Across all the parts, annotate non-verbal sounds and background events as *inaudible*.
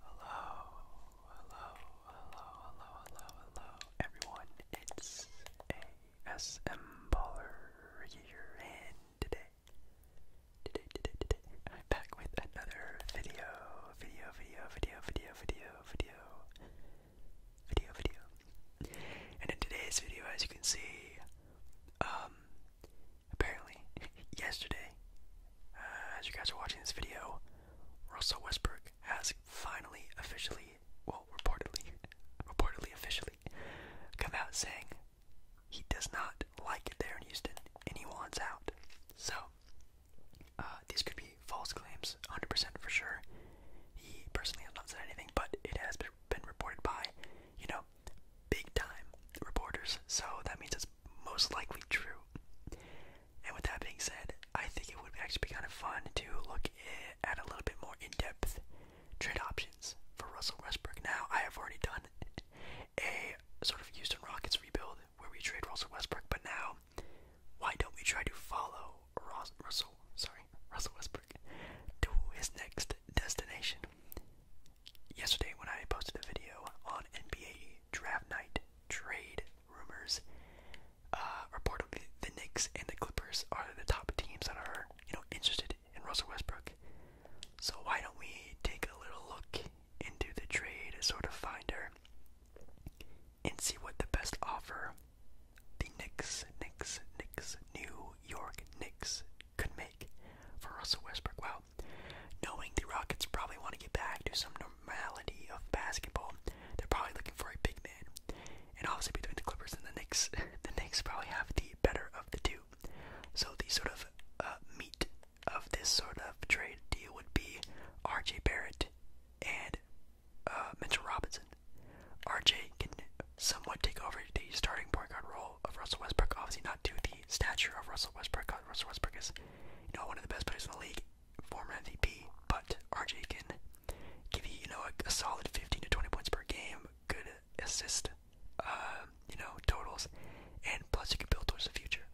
Hello, hello, hello, hello, hello, hello, everyone. It's ASM Baller here, and today, today, today, today, I'm back with another video, video, video, video, video, video, video, video, video. And in today's video, as you can see, um, apparently, *laughs* yesterday, uh, as you guys are watching this video, Russell Westbrook has finally officially, well, reportedly, *laughs* reportedly officially, come out saying he does not like it there in Houston and he wants out. So, uh, these could be false claims, 100% for sure. He personally has not said anything, but it has been reported by, you know, big time reporters, so that means it's most likely true. And with that being said, I think it would actually be kind of fun to look at a little bit more in depth trade options for Russell Westbrook. Now, I have already done a sort of Houston Rockets rebuild where we trade Russell Westbrook, but now why don't we try to follow Russell? Sorry, Russell Westbrook to his next destination yesterday when I posted a video on NBA draft night trade rumors, uh, reportedly the Knicks and the Clippers are the top teams that are, you know, interested in Russell Westbrook. So why don't we take a little look into the trade sort of finder and see what the best offer the Knicks, Knicks, Knicks, New York Knicks could make for Russell Westbrook. Wow, Knowing the Rockets probably want to get back to some normality of basketball, they're probably looking for a big man. And obviously between the Clippers and the Knicks, *laughs* the Knicks probably have the better of the two. So the sort of uh, meat of this sort of trade deal would be R.J. Barrett and uh, Mitchell Robinson. R.J. can somewhat take over the starting point guard role of Russell Westbrook. Obviously, not to the stature of Russell Westbrook. Russell Westbrook is, you know, one of the best players in the league, former MVP. But RJ can give you, you know, a, solid 15 to 20 points per game, good assist, um, you know, totals, and plus you can build towards the future.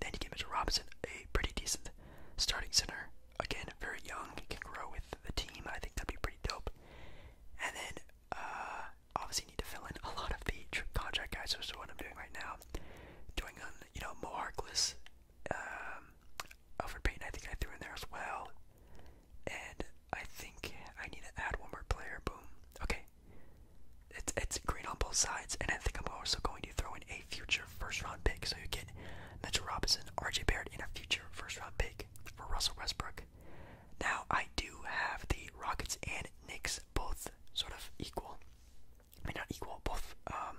Then you get Mr. Robinson, a pretty decent starting center. Again, very young, can grow with the team. I think that'd be pretty dope. And then uh, obviously need to fill in a lot of the contract guys, which is what I'm doing right now. Doing on you know Mo Harkless, um, Alfred I think I threw in there as well, and I think I need to add one more player. Boom. Okay, it's it's green on both sides, and I think I'm also going to throw in a future first round pick. So you get Mitchell Robinson, R.J. Barrett, in a future first round pick for Russell Westbrook. Now I do have the Rockets and Knicks both sort of equal. I not equal. Both. Um,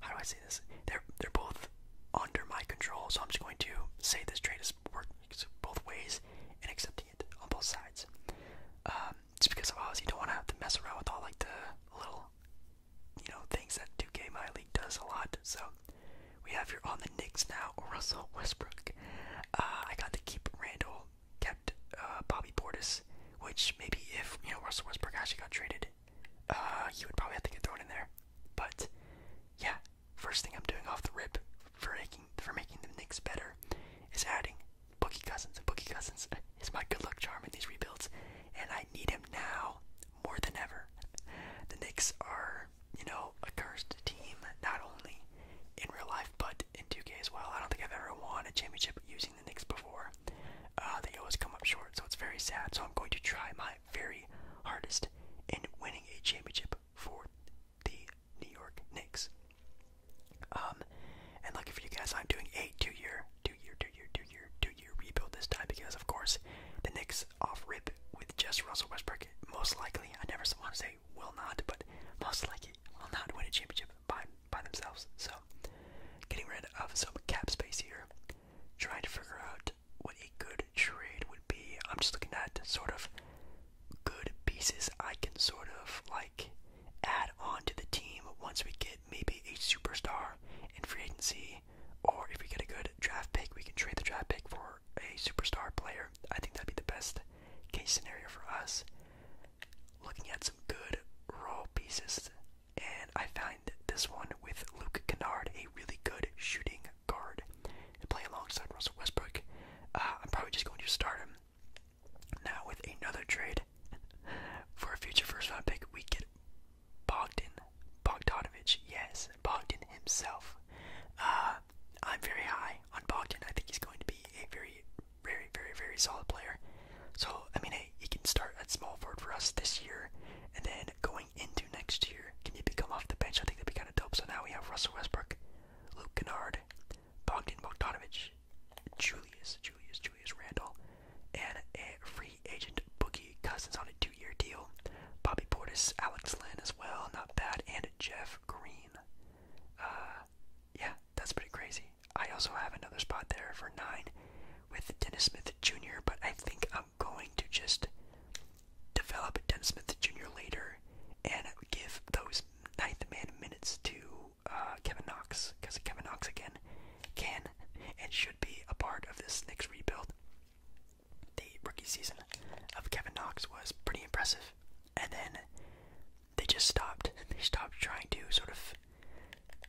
how do I say this? They're they're both under my control. So I'm just going to say this trade is working both ways and accepting it on both sides. Um, just because of obviously you don't want to have to mess around with all like the little, you know, things that 2K My League does a lot. So we have here on the Knicks now Russell Westbrook. Uh, I got to keep Randall kept uh, Bobby Portis, which maybe if you know Russell Westbrook actually got traded, you uh, he would probably have to get thrown in there. But yeah, first thing I'm doing off the rip for making for making the Knicks better is adding Bookie Cousins. And Bookie Cousins *laughs* is my good luck charm in these rebuilds, and I need him now more than ever. The Knicks are, you know, a cursed team, not only in real life but in 2K as well. I don't think I've ever won a championship using the Knicks before. Uh, they always come up short, so it's very sad. So I'm going to try my very hardest in winning a championship for the New York Knicks. Um, and lucky for you guys, I'm doing a two-year, two-year, two-year, two-year, two-year rebuild this time because, of course, the Knicks off rip with just Russell Westbrook. Most likely, I never want to say will not, but most likely will not win a championship by by themselves. So, getting rid of some cap space here, trying to figure out what a good trade would be. I'm just looking at sort of good pieces I can sort of like add on to the team once we get maybe a superstar in free agency, or if we get a good draft pick, we can trade the draft pick for a superstar player. I think that'd be the best case scenario for us. Looking at some good raw pieces, and I find this one with Luke Kennard, a really good shooting guard, to play alongside Russell Westbrook. Uh, I'm probably just going to start him now with another trade *laughs* for a future first-round pick. We get Bogdan Bogdanovic, yes, Bogdan himself. Uh, I'm very high on Bogdan. I think he's going to be a very very, very, very solid player. So, I mean, hey, he can start at small forward for us this year, and then going into next year, can he become off the bench? I think that'd be kind of dope. So now we have Russell Westbrook, Luke Kennard, Bogdan Bogdanovic, Julius, Julius, Julius Randall, and a free agent Boogie Cousins on a two-year deal. Bobby Portis, Alex Lynn as well, not bad, and Jeff Green. Uh, yeah, that's pretty crazy. I also have another spot there for nine with Dennis Smith Jr., but I think I'm going to just develop Dennis Smith Jr. later and give those ninth man minutes to uh, Kevin Knox, because Kevin Knox again can and should be a part of this next rebuild. The rookie season of Kevin Knox was pretty impressive, and then they just stopped. *laughs* They stopped trying to sort of,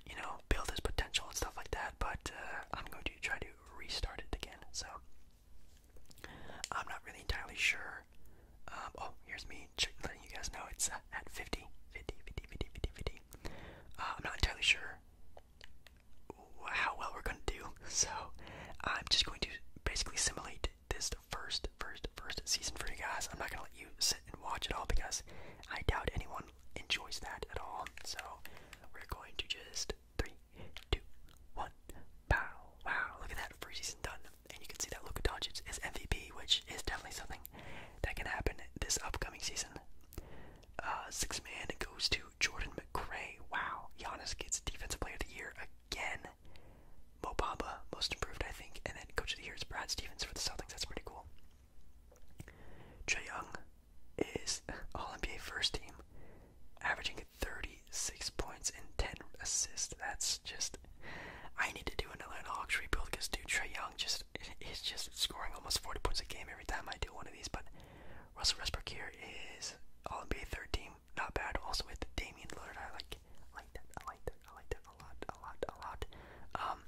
you know, build his potential and stuff like that. But uh, I'm going to try to restart it again. So I'm not really entirely sure. Um, oh, here's me letting you guys know it's uh, at 50, 50, 50, uh, I'm not entirely sure how well we're going to do. *laughs* So I'm just going to basically simulate this the first, first, first season for you guys. I'm not gonna let you sit and watch it all because I doubt anyone enjoys that at all. So we're going to just three, two, one, pow, wow! Look at that, first season done, and you can see that Luka Doncic is MVP, which is definitely something that can happen this upcoming season. Uh, six man goes to Jordan McRae. Wow, Giannis gets Defensive Player of the Year again. Mo most improved, I think, and then coach of the year is Brad Stevens for the Celtics. That's pretty cool. Trey Young is *laughs* All NBA first team, averaging 36 points and 10 assists. That's just. I need to do another Hawks rebuild because, dude, Trey Young just is *laughs* just scoring almost 40 points a game every time I do one of these. But Russell Westbrook here is All NBA third team, not bad. Also with Damian Lillard, I like I like that. I like that. I like that a lot, a lot, a lot. Um,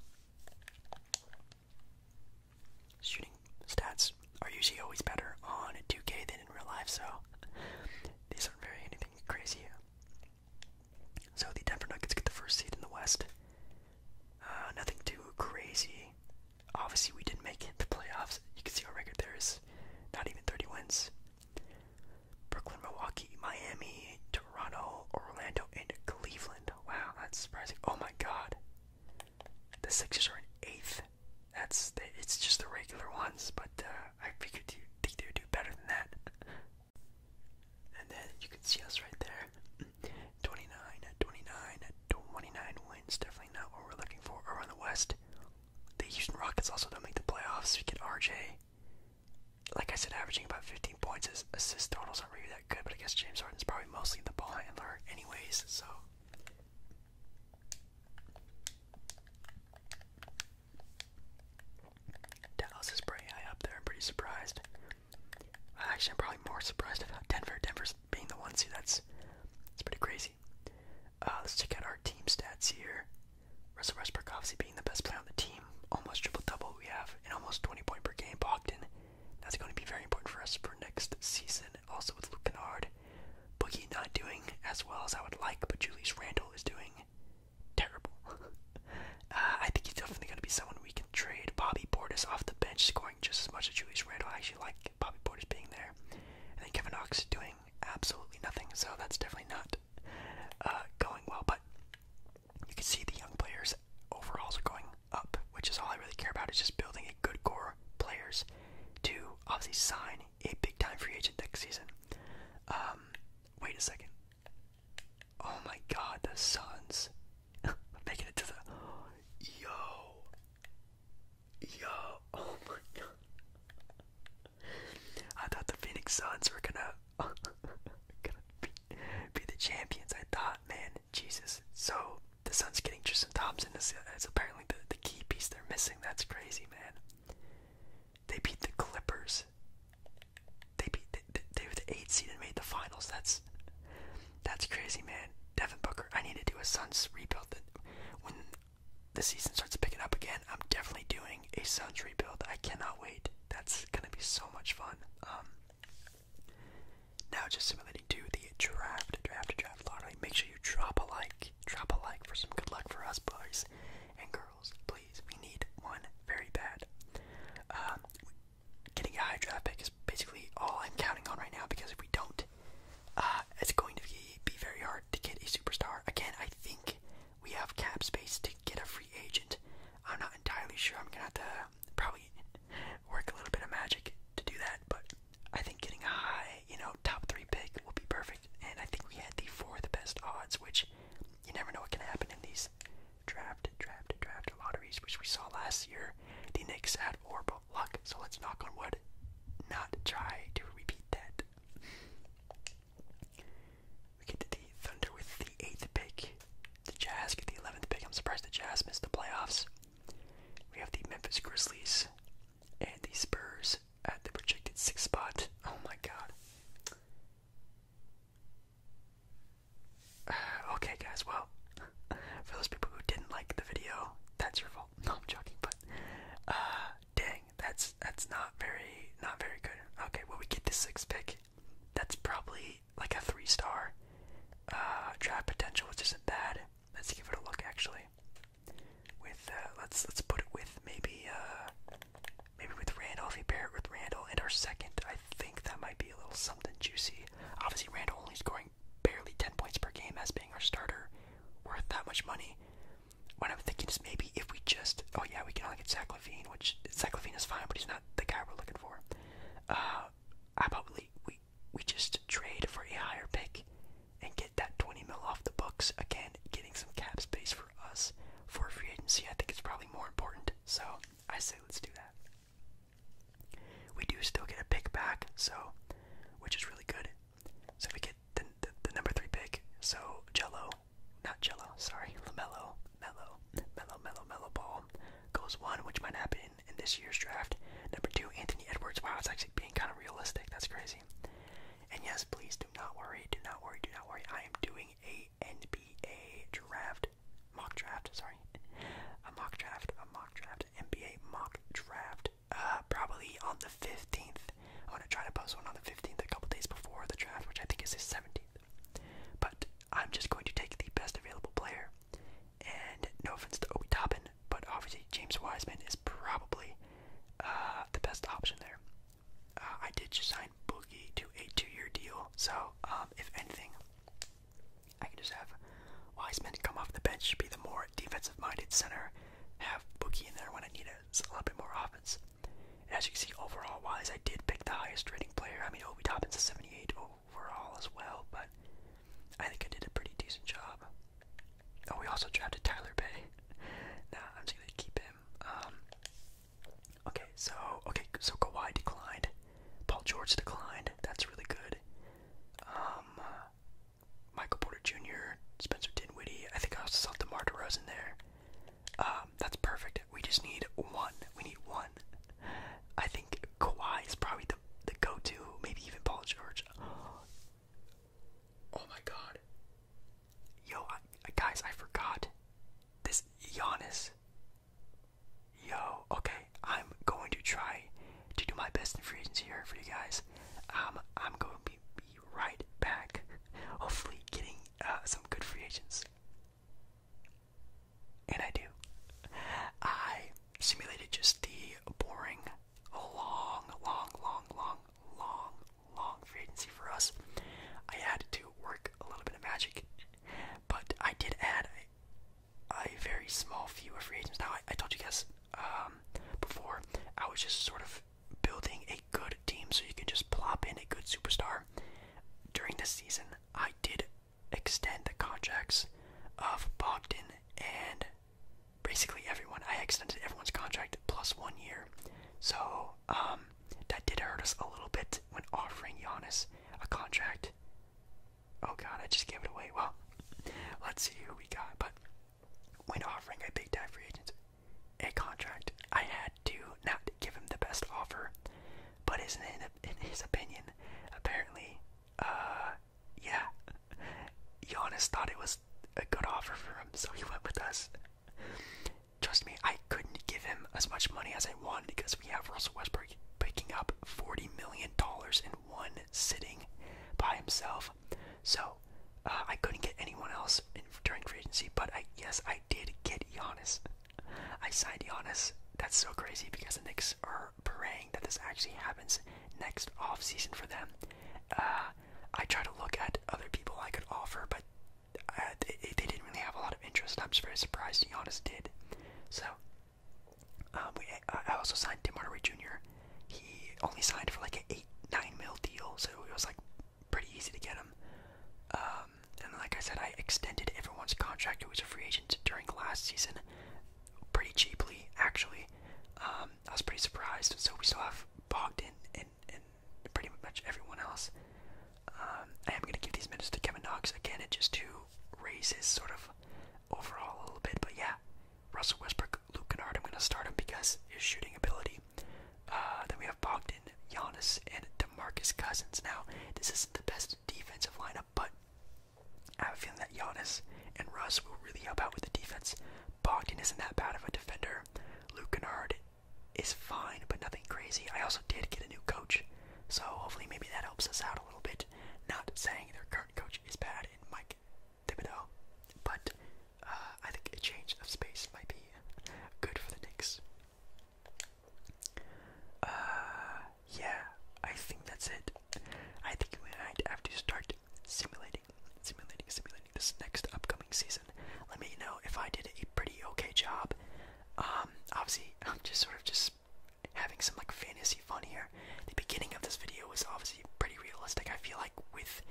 shooting stats are usually always better on 2K than in real life, so these aren't very anything crazy. So the Denver Nuggets get the first seed in the West. Uh, nothing too crazy. Obviously, we didn't make it the playoffs. You can see our record there is not even 30 wins. Brooklyn, Milwaukee, Miami, Toronto, Orlando, and Cleveland. Wow, that's surprising. Oh my god. The Sixers are in eighth. That's the, it's just the regular ones, but uh, I figured you think they would do better than that. *laughs* And then you can see us right there. *clears throat* 29, 29, 29 wins. Definitely not what we're looking for around the West. The Houston Rockets also don't make the playoffs. We get RJ like I said, averaging about 15 points. His assist totals aren't really that good, but I guess James Harden is probably mostly the ball handler, anyways. So. Dallas is pretty high up there. I'm pretty surprised. Actually, I'm probably more surprised about Denver. Denver's being the one seed. That's, that's pretty crazy. Uh, let's check out our team stats here. Russell Westbrook obviously being the best player on the team, almost triple double we have, and almost 20 point per game Bogdan. That's going to be very important for us for next season. Also with Luke Kennard, Boogie not doing as well as I would like, but Julius Randall is doing terrible. *laughs* Uh, I think he's definitely going to be someone we can trade. Bobby Portis off the bench scoring just as much as Julius Randall. I actually like Bobby Portis being there, and then Kevin Knox doing absolutely nothing. So that's definitely not not uh, going well, but you can see the young players overalls are going up, which is all I really care about is just building a good core players to obviously sign a big time free agent next season. Um, wait a second. Oh my god, the Suns. *laughs* Making it to the. Yo. Yo. Oh my god. I thought the Phoenix Suns were gonna *laughs* be, the champions. I thought, man, Jesus. So the Suns getting Tristan Thompson is, is apparently the, the key piece they're missing. That's crazy, man. They beat the Clippers. They beat they, were the eight seed and made the finals. That's that's crazy, man. Devin Booker. I need to do a Suns rebuild. when the season starts picking up again, I'm definitely doing a Suns rebuild. I cannot wait. That's gonna be so much fun. Um, now just simulating to the draft, draft, draft lottery. Make sure you drop a like, drop a like for some good luck for us boys and girls. Please, we need one very bad. Um, getting a high draft pick is basically all I'm counting on right now because if we don't, uh, it's going to be, be very hard to get a superstar. Again, I think we have cap space to get a free agent. I'm not entirely sure. I'm gonna have to probably work a little bit of magic to do that, but I think getting a high, you know, top three pick will be perfect. And I think we had the fourth best odds, which you never know what can happen in these draft, draft, draft lotteries, which we saw last year. The Knicks had horrible luck, so let's knock on wood, not try to repeat that. We get the Thunder with the eighth pick. The Jazz get the eleventh pick. I'm surprised the Jazz missed the playoffs. We have the Memphis Grizzlies and the Spurs at the projected six spot. Oh my god. *sighs* okay, guys, well, *laughs* for those people who didn't like the video, that's your fault. *laughs* No, I'm joking, but, uh, dang, that's, that's not very, not very good. Okay, well, we get the sixth pick that's probably like a three star uh, potential, which isn't bad. Let's give it a look actually. With uh, let's let's put it with maybe uh, maybe with Randolph. He paired with Randall and our second. I think that might be a little something juicy. Obviously, Randall only scoring barely ten points per game as being our starter, worth that much money. What I'm thinking is maybe if we just oh yeah we can only get Zach which Zach Levine is fine, but he's not the guy we're looking for. I uh, probably we we just trade for a higher pick and get that 20 mil off the books again, getting some cap space for us for free agency. I think it's probably more important, so I say let's do that. We do still get a pick back, so which is really good. So we get the, the number three pick. So Jello not Jello, sorry, Lamelo, Mello, Mello, Mello, Mello Ball goes one, which might happen in this year's draft. Number two, Anthony Edwards. Wow, it's actually being kind of realistic. That's crazy. And yes, please do not worry, do not worry, do not worry. I am doing a NBA draft, mock draft. Sorry, a mock draft, a mock draft, NBA mock draft. Uh, probably on the fifteenth. I want to try to post one on the fifteenth, a couple days before the draft, which I think is the seventeenth. But I'm just going to take the best available player. And no offense to Obi Toppin, but obviously James Wiseman is probably uh, the best option there. Uh, I did just sign Boogie to a two-year deal, so um, if anything, I could just have Wiseman come off the bench, Should be the more defensive-minded center, have Boogie in there when I need a, a little bit more offense. As you can see, overall wise, I did pick the highest rating player. I mean, Obi Toppin's a 78 overall as well, but I think I did a pretty decent job. Oh, we also drafted Tyler Bay. *laughs* Now I'm just gonna keep him. Um, okay, so okay, so Kawhi declined. Paul George declined. That's really good. Um, Michael Porter Jr., Spencer Dinwiddie. I think I also saw DeMar DeRozan there. Um, that's perfect. We just need one. We need one. I think Kawhi is probably the the go-to. Maybe even Paul George. Oh my God. Yo, guys, I forgot this Giannis. Yo, okay, I'm going to try to do my best in free agency here for you guys. Um, I'm going to be, be right back. Hopefully, getting uh, some good free agents. And I do. I simulated just the boring, long, long, long, long, long, free agency for us. I had to work a little bit of magic, but I did add a, very small few of free agents. Now, I, told you guys um, before, I was just sort of building a good team so you can just plop in a good superstar. During the season, I did extend the contracts of Bogdan and basically everyone. I extended everyone's contract plus one year. So um, that did hurt us a little bit when offering Giannis a contract. Oh god, I just gave it away. Well, let's see who we got. But when offering a big time free agent a contract, I had to not give him the best offer, but in, his opinion, apparently, uh, yeah, Giannis thought it was a good offer for him, so he went with us. Trust me, I couldn't give him as much money as I wanted because we have Russell Westbrook picking up forty million dollars in one sitting by himself. So uh, I couldn't get anyone else in, during free agency, but I yes I did get Giannis. I signed Giannis. That's so crazy because the Knicks are praying that this actually happens next off season for them. Uh, I try to look at other people I could offer, but uh, they, didn't really have a lot of interest. I'm just very surprised Giannis did. So um, we, uh, I also signed Tim Hardaway Jr. He only signed for like an eight nine mil deal, so it was like pretty easy to get him. Um, and like I said, I extended everyone's contract who was a free agent during last season pretty cheaply, actually. Um, I was pretty surprised. So we still have Bogdan and, pretty much everyone else. Um, I am going to give these minutes to Kevin Knox again, and just to raise his sort of overall a little bit. But yeah, Russell Westbrook, Luke Kennard, I'm going to start him because his shooting ability. Uh, then we have Bogdan, Giannis, and DeMarcus Cousins. Now, this isn't the best Russ defensive lineup, but I have a feeling that Giannis and Russ will really help out with the defense. Bogdan isn't that bad of a defender. Luke Kennard is fine, but nothing crazy. I also did get a new coach, so hopefully maybe that helps us out a little bit. Not saying their current coach is bad in Mike Thibodeau, but uh, I think a change of space might be good for the Knicks. Uh, yeah, I think that's it. I think we might have to start simulating, simulating, simulating this next upcoming season. Let me know if I did a pretty okay job. Um, obviously, *laughs* I'm just sort of just having some like fantasy fun here. The beginning of this video was obviously pretty realistic. I feel like with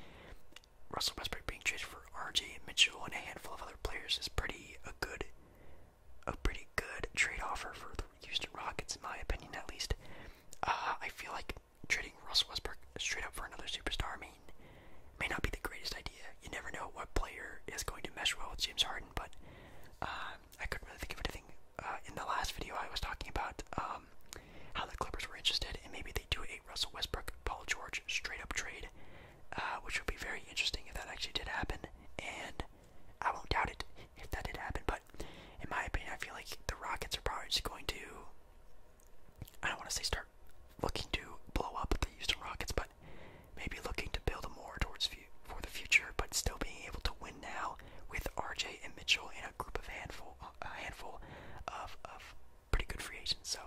Russell Westbrook being traded for RJ Mitchell and a handful of other players is pretty a good a pretty good trade offer for the Houston Rockets, in my opinion, at least. Uh, I feel like trading Russell Westbrook straight up for another superstar may, may not be the greatest idea. You never know what player is going to mesh well with James Harden, but uh, I couldn't really think of anything. Uh, in the last video, I was talking about um, how the Clippers were interested, and maybe they do a Russell Westbrook, Paul George straight up trade, which would be very interesting if that actually did happen. And I won't doubt it if that did happen, but in my opinion, I feel like the Rockets are probably just going to. I don't want to say start looking to blow up the Houston Rockets, but maybe looking to build more towards for the future, but still being able to win now with RJ and Mitchell and a group of handful, a handful of of pretty good free agents. So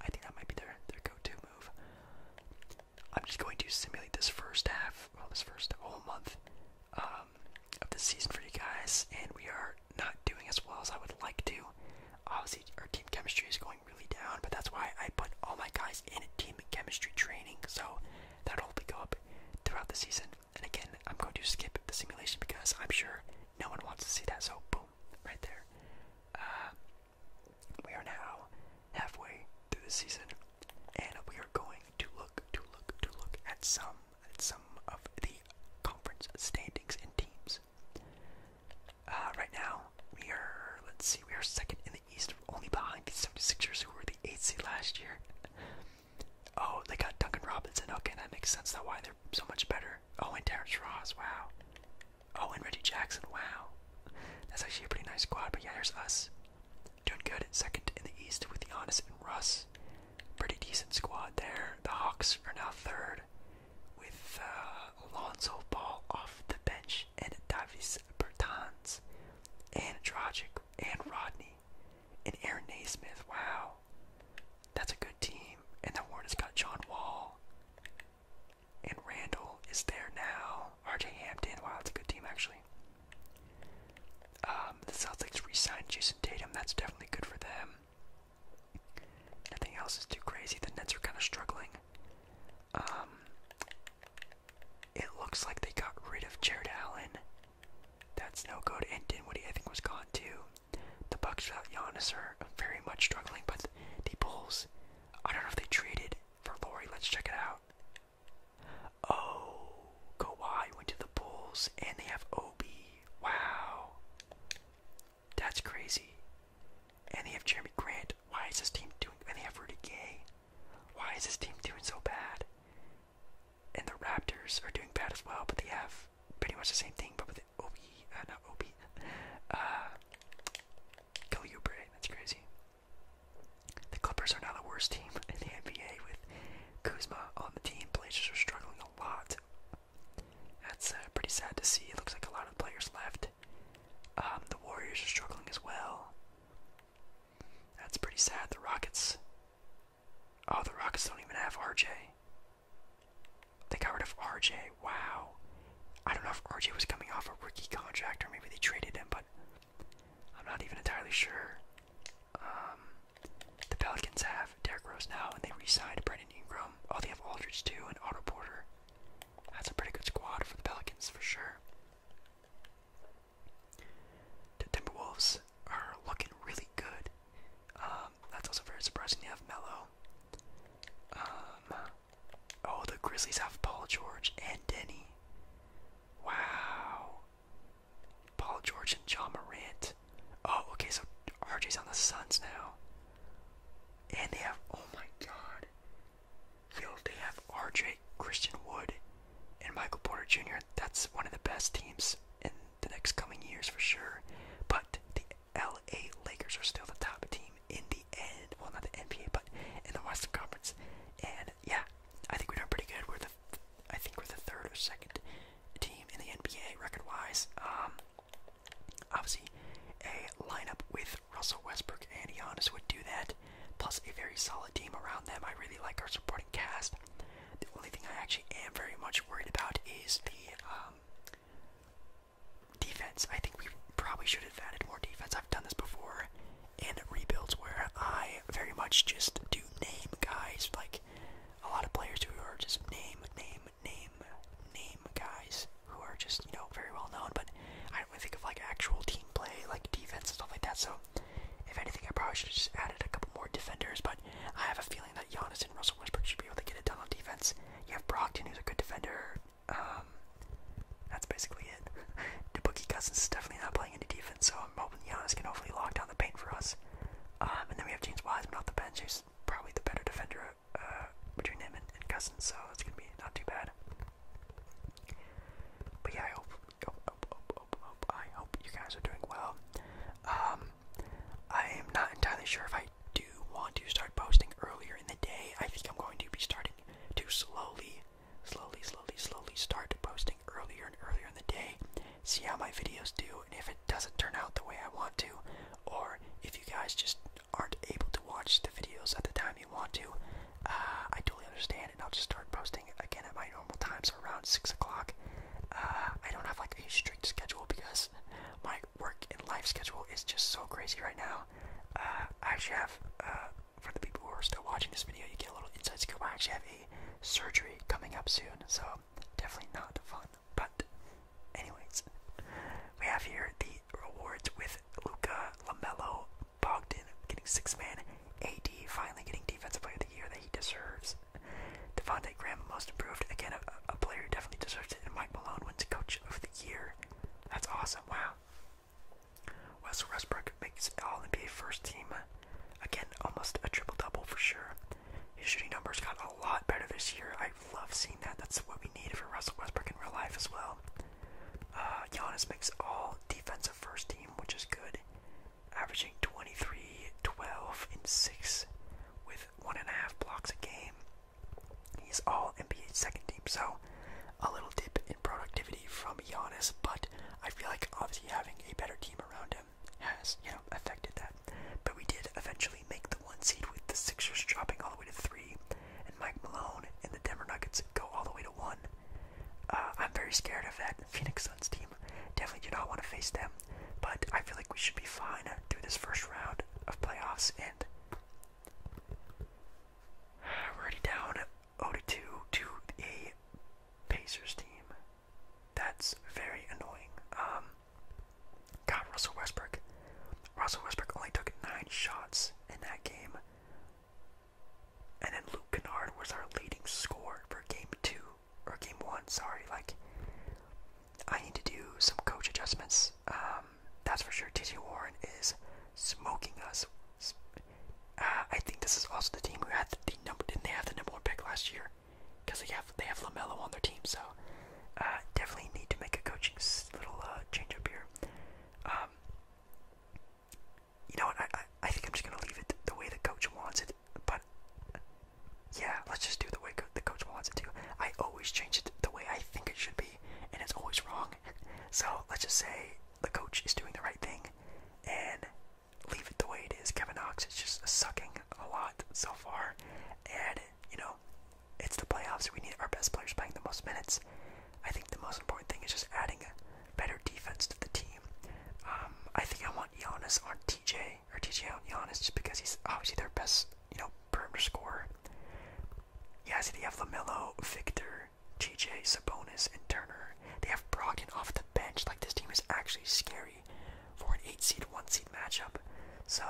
I think that might be their their go-to move. I'm just going to simulate this first half, well, this first whole month um, of the season for you guys, and we are not doing as well as I would like to. Obviously, our team chemistry is going really down, but that's why I put all my guys in team chemistry training, so that'll hopefully go up throughout the season. And again, I'm going to skip the simulation because I'm sure no one wants to see that, so boom, right there. Uh, we are now halfway through the season, and we are going to look, to look, to look at some, some of the conference standings and teams. Uh, right now, we are, let's see, we are second in the East, only behind the 76ers, who were the 8th seed last year. Oh, they got Duncan Robinson. Okay, that makes sense. That's why they're so much better. Oh, and Terrence Ross. Wow. Oh, and Reggie Jackson. Wow. That's actually a pretty nice squad. But yeah, there's us doing good. Second in the East with Giannis and Russ. Pretty decent squad there. The Hawks are now third with uh, Alonzo Ball off the bench and Davis Bertans and Dragic and Rodney and Aaron Naismith. Wow. That's a good team. And the Warriors got John Wall. And Randall is there now. RJ Hampton. Wow, it's a good team actually. Um, the Celtics re-signed Jason Tatum. That's definitely good for them. Nothing else is too crazy. The Nets are kind of struggling. Um, it looks like they got rid of Jared Allen. That's no good. And Dinwiddie, I think, was gone too. The Bucks without Giannis are very much struggling, but the Bulls. I don't know if they traded for Lori. Let's check it out. Oh, Kawhi went to the Bulls and they have Obi. Wow. That's crazy. And they have Jeremy Grant. Why is this team doing and they have Rudy Gay? Why is this team doing so bad? And the Raptors are doing bad as well, but they have pretty much the same thing, but with Obi, uh, not Obi, *laughs* uh, Calibre. That's crazy. The Clippers are now the worst team *laughs* in the NBA with Kuzma on the team. Blazers are struggling a lot. That's uh, pretty sad to see. It looks like a lot of players left. Um, the Warriors are struggling as well. That's pretty sad. The Rockets. Oh, the Rockets don't even have RJ. They got rid of RJ. Wow. I don't know if RJ was coming off a rookie contract or maybe they traded him, but I'm not even entirely sure. Um, the Pelicans have Derrick Rose now, and they re-signed Brandon Ingram. Oh, they have Aldridge too and Otto Porter. That's a pretty good squad for the Pelicans for sure. The Timberwolves are looking really good. Um, that's also very surprising. They have Mello. Um, oh, the Grizzlies have Paul George and Denny. Wow. Paul George and John Morant. Oh, okay, so RJ's on the Suns now. And they have, oh my god. Yo, they have RJ, Christian Wood, and Michael Porter Jr. That's one of the best teams in the next coming years for sure. But the LA Lakers are still the top team in the end. Well, not the NBA, but in the Western Conference. And and yeah, I think we're doing pretty good. We're the, I think we're the third or second team in the NBA record-wise. Um, obviously, a lineup with Russell Westbrook and Giannis would do that. Plus, a very solid team around them. I really like our supporting cast. The only thing I actually am very much worried about is the um, defense. I think we probably should have added more defense. I've done this before and rebuilds where I very much just do name guys, like a lot of players who are just name, name, name, name guys who are just, you know, very well known, but I don't really think of like actual team play, like defense and stuff like that, so if anything, I probably should just added a couple more defenders, but I have a feeling that Giannis and Russell Westbrook should be able to get it done on defense. You have Brockton, who's a good defender. Um, that's basically it. *laughs* DeBookie Cousins is definitely not playing playing any defense, so I'm hoping Giannis can hopefully lock down the paint for us. Um, and then we have James Wiseman off the bench, who's probably the better defender uh, between him and, and Cousins, so it's gonna be not too bad. But yeah, I hope, I hope you guys are doing well. Um, I am not entirely sure if I do want to start posting earlier in the day. I think I'm going to be starting to slowly slowly, slowly, slowly start posting earlier and earlier in the day, see how my videos do, and if it doesn't turn out the way I want to, or if you guys just aren't able to watch the videos at the time you want to, uh, I totally understand, and I'll just start posting again at my normal times so around 6 o'clock. Uh, I don't have like a strict schedule because my work and life schedule is just so crazy right now. Uh, I actually have for the people who are still watching this video, you get a little insight inside go. I actually have a surgery coming up soon, so definitely not fun. But, anyways, we have here the rewards with Luca, Lamelo, Bogdan getting six man, AD finally getting defensive player of the year that he deserves. Devontae Graham, most improved. Again, a, player definitely deserves it. And Mike Malone wins coach of the year. That's awesome. Wow. Russell Westbrook makes All NBA first team. Again, almost a triple double for sure. His shooting numbers got a lot better this year. I love seeing that. That's what we need for Russell Westbrook in real life as well. Uh, Giannis makes all defensive first team, which is good, averaging 23, 12, and 6 with 1.5 blocks a game. He's all NBA second team, so a little dip in productivity from Giannis, but I feel like obviously having a better team around him has, you know, affected that. But we did eventually make the one seed with the Sixers dropping all the way to three, and Mike Malone and the Denver Nuggets go all the way to one. Uh, I'm very scared of that Phoenix Suns team. Definitely do not want to face them, but I feel like we should be fine through this first round of playoffs. And *sighs* we're already down 0 to 2 to a Pacers team. That's very annoying. Um, God, Russell Westbrook. Russell Westbrook only took nine shots in that game. And then Luke Kennard was our leading scorer for game two, or game one, sorry. Like, I need to do some coach adjustments. Um, that's for sure. TJ Warren is smoking us. Uh, I think this is also the team who had the, the number. Didn't they have the number one pick last year? Because they have they have Lamelo on their team, so uh, definitely need to make a coaching little uh, change up here. Um, you know what? I, I I think I'm just gonna leave it the way the coach wants it. But yeah, let's just do the way co the coach wants it to. I always change it the way I think it should be, and it's always wrong. *laughs* so let's just say the coach is doing the right thing, and leave it the way it is. Kevin Knox is just sucking a lot so far, and you know, it's the playoffs. We need our best players playing the most minutes. I think the most important thing is just adding a better defense to the team. Um, I think I want Giannis on TJ or TJ on Giannis just because he's obviously their best, you know, perimeter scorer. Yeah, I see you have Lamelo, Victor, Butler, T.J. Sabonis, and Turner. They have Brogdon off the bench. Like this team is actually scary for an eight seed, one seed matchup. So,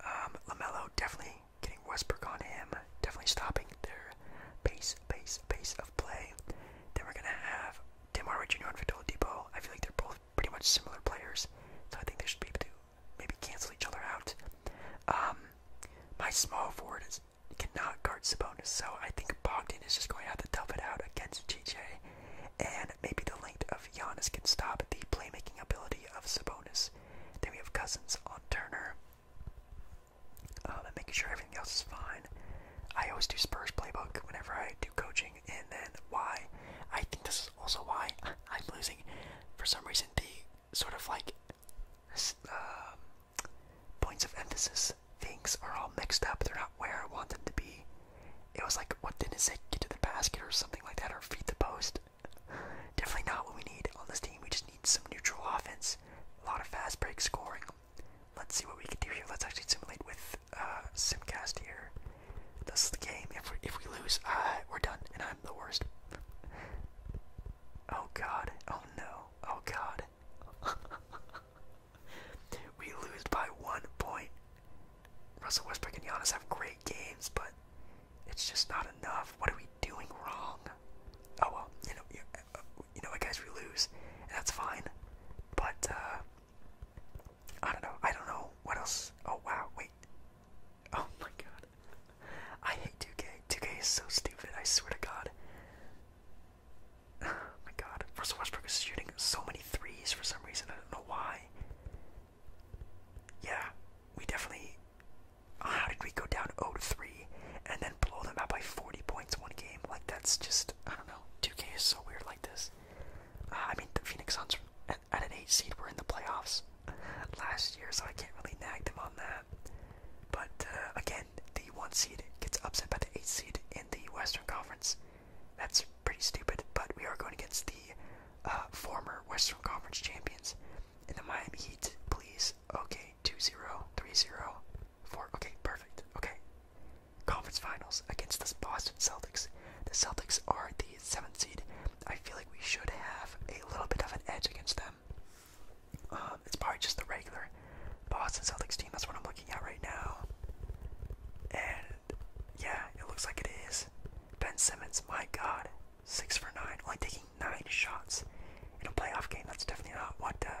um, Lamelo definitely getting Westbrook on him, definitely stopping their pace, pace, pace of play. Then we're gonna have Tim Hardaway Jr. and Victor Depot. I feel like they're both pretty much similar players, so I think they should be able to maybe cancel each other out. Um, my small forward is cannot guard Sabonis, so I think Bogdan is just going to have to tough it out against JJ, and maybe the length of Giannis can stop the playmaking ability of Sabonis. Then we have Cousins on Turner, um, and making sure everything else is fine. I always do Spurs playbook whenever I do coaching, and then why? I think this is also why I'm losing. For some reason, the sort of like um, points of emphasis. Things are all mixed up. They're not where I want them to be. It was like, what didn't say? Get to the basket or something like that, or feed the post. Definitely not what we need on this team. We just need some neutral offense, a lot of fast break scoring. Let's see what we can do here. Let's actually simulate with uh, Simcast here. This is the game. If we if we lose, uh, we're done, and I'm the worst. Oh God! Oh no! Oh God! *laughs* we lose by one point. Russell Westbrook and Giannis have great games, but it's just not enough. What are we doing wrong? Oh well, you know, you, uh, know, I guess we lose, and that's fine. But uh, I don't know. I don't know what else. Oh wow, wait. Oh my god, *laughs* I hate 2K. 2K is so stupid. I swear to God. *sighs* oh my god, Russell Westbrook is shooting so many threes for some reason. I don't know why. Yeah, we definitely. How did we go down 0-3 and then blow them out by 40 points one game? Like that's just I don't know. 2K is so weird like this. Uh, I mean, the Phoenix Suns at, an 8 seed were in the playoffs *laughs* last year, so I can't really nag them on that. But uh, again, the one seed gets upset by the eight seed in the Western Conference. That's pretty stupid, but we are going against the uh, former Western Conference champions in the Miami Heat, please. Okay, 2 Okay, perfect. Okay. Conference finals against the Boston Celtics. The Celtics are the seventh seed. I feel like we should have a little bit of an edge against them. Um, it's probably just the regular Boston Celtics team. That's what I'm looking at right now. And yeah, it looks like it is. Ben Simmons, my God, six for nine, only taking nine shots in a playoff game. That's definitely not what uh,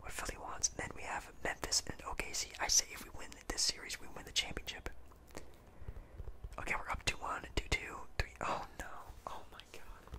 what Philly wants. And then we have Memphis and OKC. I say if we win this series, we win the championship. Okay, we're up 2 1, 2 2, Oh no. Oh my god.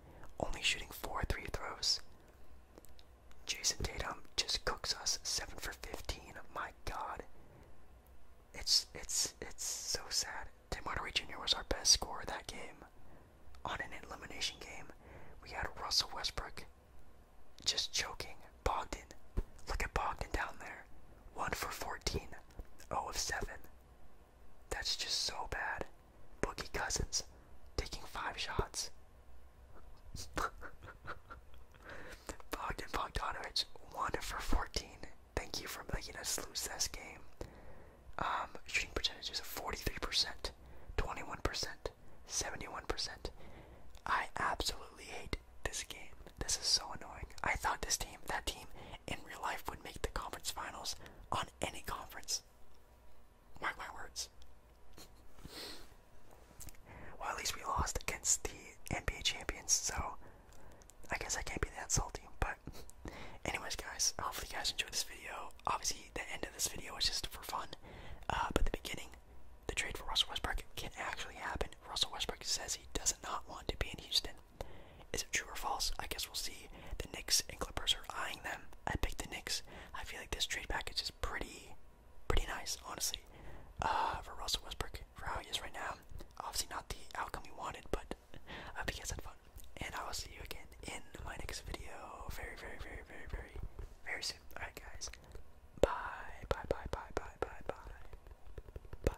only shooting four three throws. Jason Tatum just cooks us seven for fifteen. My God, it's it's it's so sad. Tim Hardaway Jr. was our best scorer that game. On an elimination game, we had Russell Westbrook just choking. Bogdan, look at Bogdan down there, one for fourteen, zero oh of seven. That's just so bad. Boogie Cousins taking five shots. *laughs* Bogdan Bogdanovich, 1 for 14. Thank you for making us lose this game. Um, shooting percentages of 43%, 21%, 71%. I absolutely hate this game. This is so annoying. I thought this team, that team, in real life would make the conference finals on any conference. Mark my words. well, at least we lost against the NBA champions, so I guess I can't be that salty. But, anyways, guys, hopefully you guys enjoyed this video. Obviously, the end of this video was just for fun, uh, but the beginning, the trade for Russell Westbrook can actually happen. Russell Westbrook says he does not want to be in Houston. Is it true or false? I guess we'll see. The Knicks and Clippers are eyeing them. I picked the Knicks. I feel like this trade package is pretty, pretty nice, honestly. Uh, for Russell Westbrook, for how he is right now. Obviously not the outcome we wanted, but I hope you guys had fun. And I will see you again in my next video very, very, very, very, very, very soon. Alright guys. Bye, bye, bye, bye, bye, bye, bye. Bye.